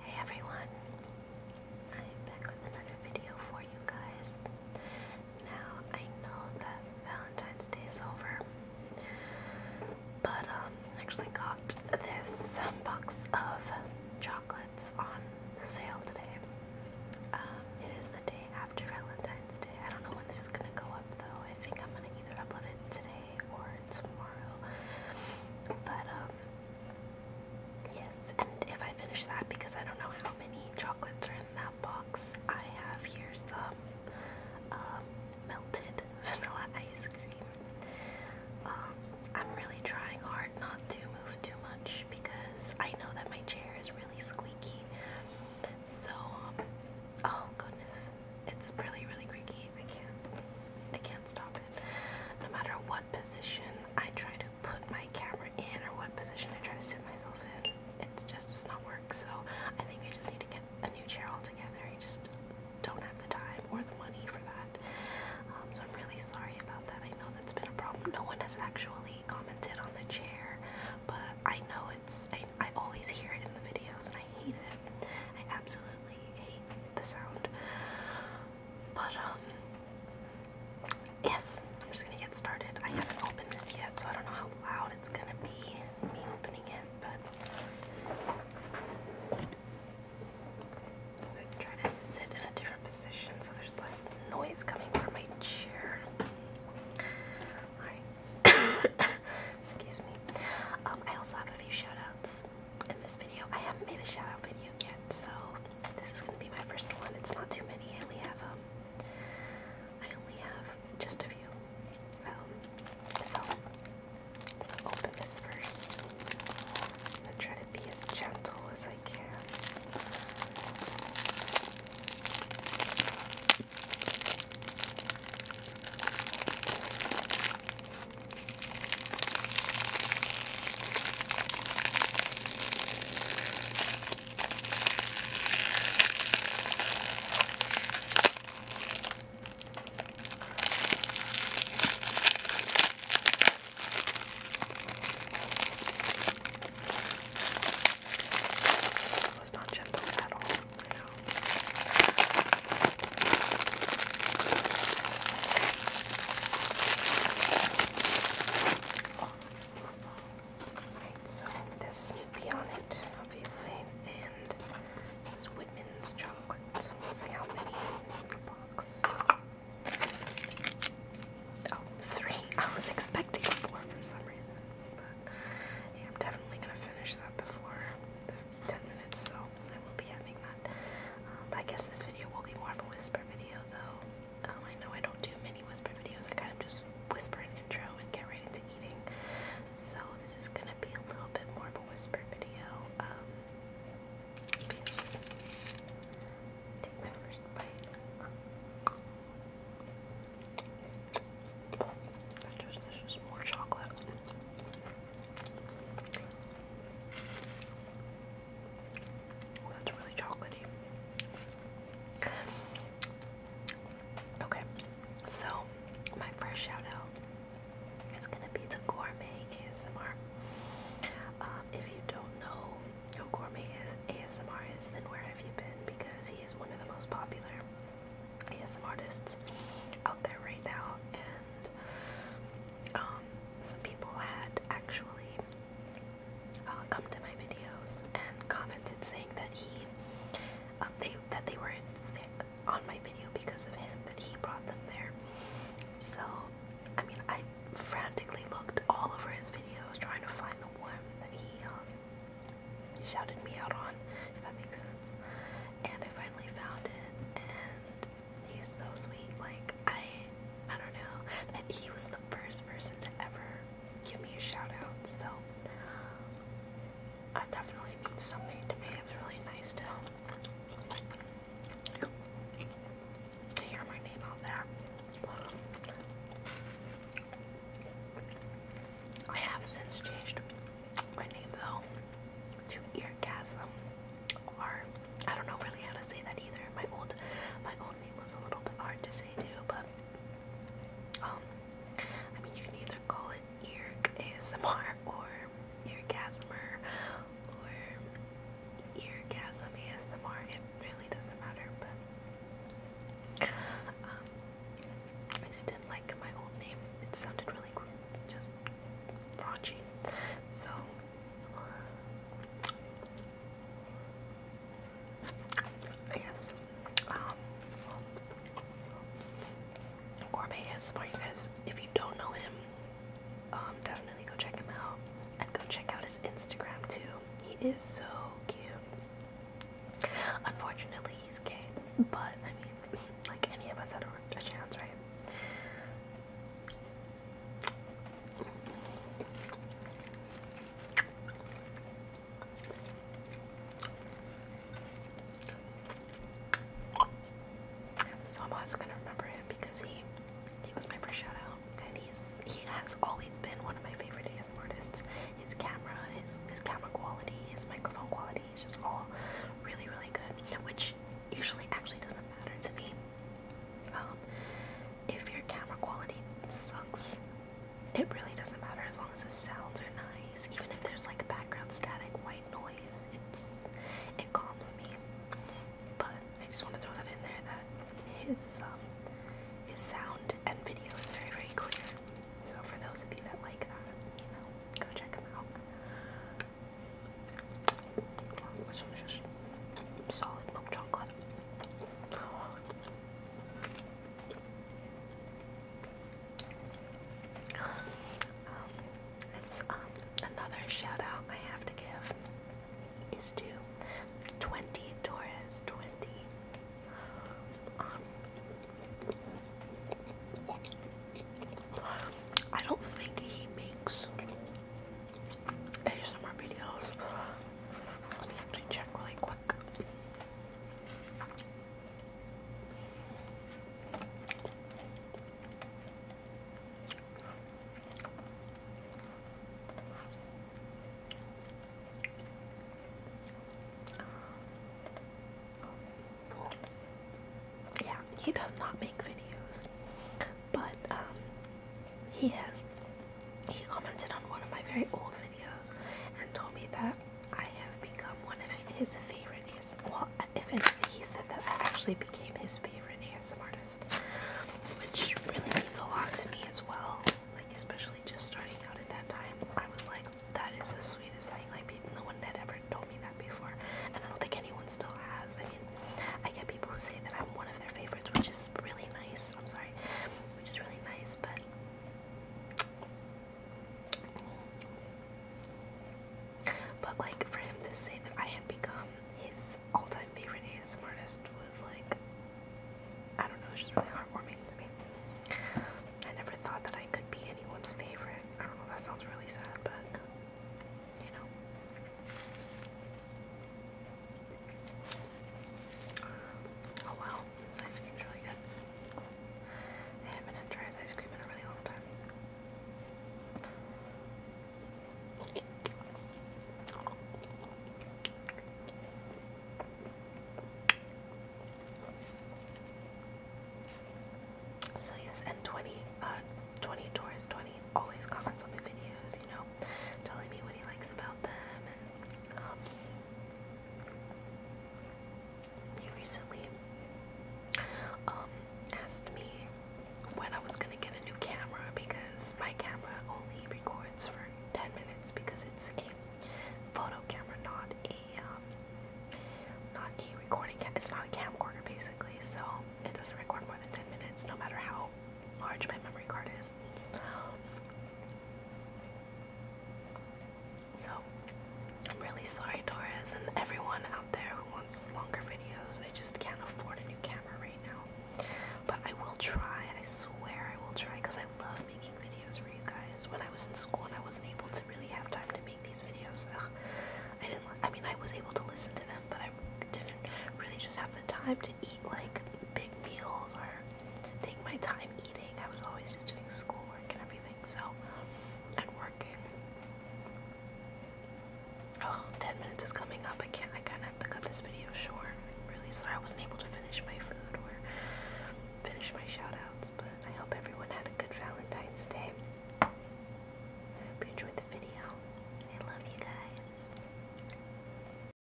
Hey everyone, I'm back with another video for you guys. Now I know that Valentine's Day is over, but um, I actually got this box of chocolates on sale today. Um, it is the day after Valentine's Day. I don't know when this is gonna go up though. I think I'm gonna either upload it today or tomorrow. But um, yes, and if I finish that because I don't know how many chocolates are in that box, I have here some um, melted vanilla ice cream. Um, I'm really trying hard not to move too much because I know that my chair is really squeaky. So oh goodness it's really really creaky. I can't I can't stop it. No matter what position I try to put my camera in or what position I try to sit myself in, it just does not work. So I think I just need to get a new chair altogether. I just don't have the time or the money for that. Um, so I'm really sorry about that. I know that's been a problem. No one has actually commented on the chair, but I know it's I always hear it in the videos and I hate it. I absolutely hate the sound. But, um, yes, I'm just gonna get started. I haven't opened this yet, so I don't know how loud it's gonna be, me opening it, but try to sit in a different position so there's less noise coming from my chair. Alright. Excuse me. Um, I also have a few shout in this video. I haven't made a shout video yet, so this is going to be my first one. It's not too many. I only have, um, I only have just a few. Um, so, I'm open this first. I'm going to try to be as gentle as I can. That was not gentle at all right so it Snoopy on it, obviously, and it's Whitman's chocolate. see how many in the box. Oh, three. I was expecting four for some reason. I'm definitely gonna finish that before the 10 minutes, so I will be having that. Um, I guess this video will be more of a whisper video, though. Um, I know I don't do many whisper videos. I kind of just whisper an intro and get right into eating. So this is gonna be a little bit more of a whisper video. Um, Take my first bite. There's just, there's just more chocolate. Oh, that's really chocolatey. Okay, so my first shout is gonna be to Gourmet ASMR. Um, if you don't know who Gourmet ASMR is, then where have you been? Because he is one of the most popular ASM artists out there right now, and um, some people had actually uh, come to my videos and commented saying that he, uh, that they were on my video because of him, that he brought them there. So I mean, I frantically looked all over his videos trying to find the one that um, he shouted me out on, if that makes sense. And I finally found it, and he's so sweet. Like, I, I don't know, that he was the first person to ever give me a shout out, so I definitely means something to me. It was really nice to to hear my name out there. I have since changed my name though to Eargasm, or I don't know really how to say that either. My old, my old name was a little bit hard to say too, but um, I mean you can either call it Ear ASMR or Eargasmer or eargasm ASMR, it really doesn't matter, but um, I just didn't like my old name. It sounded really just raunchy. So I guess um Gourmet ASMR you guys if you don't know him um, definitely go check him out and go check out his Instagram too. He is so cute. Unfortunately, he's gay, but I mean, like any of us had a, a chance, right? So I'm also gonna remember him because he he was my first shout and he's he has always been one of my favorite artists. His camera, his his camera quality, his microphone quality is just all really really good, which usually actually doesn't matter to me. Um, if your camera quality sucks, it really doesn't matter as long as the sounds are nice. Even if there's like background static, white noise. It's it calms me. But I just want to throw that in there that his um, his sound and video is very very clear. So for those of you that like that, you know, go check him out. This one's just solid milk chocolate um, it's, um, another shout I have to give is to 20 Torres 20. Um, I don't think he makes ASMR videos. Let me actually check really quick. Yeah, he does not make videos, but um, he has. He commented on one of my very old videos and told me that I have become one of his favorites if anything, he said that I actually became his favorite ASM artist, which really means a lot to me as well. Like, especially just starting out at that time, I was like, that is the sweetest thing. Like, no one had ever told me that before, and I don't think anyone still has. I mean, I get people who say that I'm one of their favorites, which is really nice. I'm sorry, which is really nice, but but like for him to say that I had become his all-time favorite ASM artist was like I don't know, it's just really heartwarming to me. I never thought that I could be anyone's favorite. I don't know, that sounds really sad, but you know. Oh wow this ice cream's really good. I haven't had dry ice cream in a really long time. So yes, and 20, uh, Taurus 20 always comments on my videos, you know, telling me what he likes about them um, he recently um, asked me when I was gonna get a new camera because my camera only records for 10 minutes because it's a photo camera, not a um, not a recording. it's not a camcorder basically, so it doesn't record more than 10 minutes, no matter how large my memory card is. So, I'm really sorry, Torres, and everyone out there who wants longer videos. I just can't afford a new camera right now. But I will try, I swear I will try, because I love making videos for you guys. When I was in school and I wasn't able to really have time to make these videos, I didn't, I mean, I was able to listen to them, but I didn't really just have the time to eat like big meals or take my time eating. I was always just doing schoolwork and everything, so and working. Oh, 10 minutes is coming up. I can't I kinda have to cut this video short. I'm really sorry I wasn't able to finish my food or finish my shoutouts, but I hope everyone had a good Valentine's Day. I hope you enjoyed the video. I love you guys.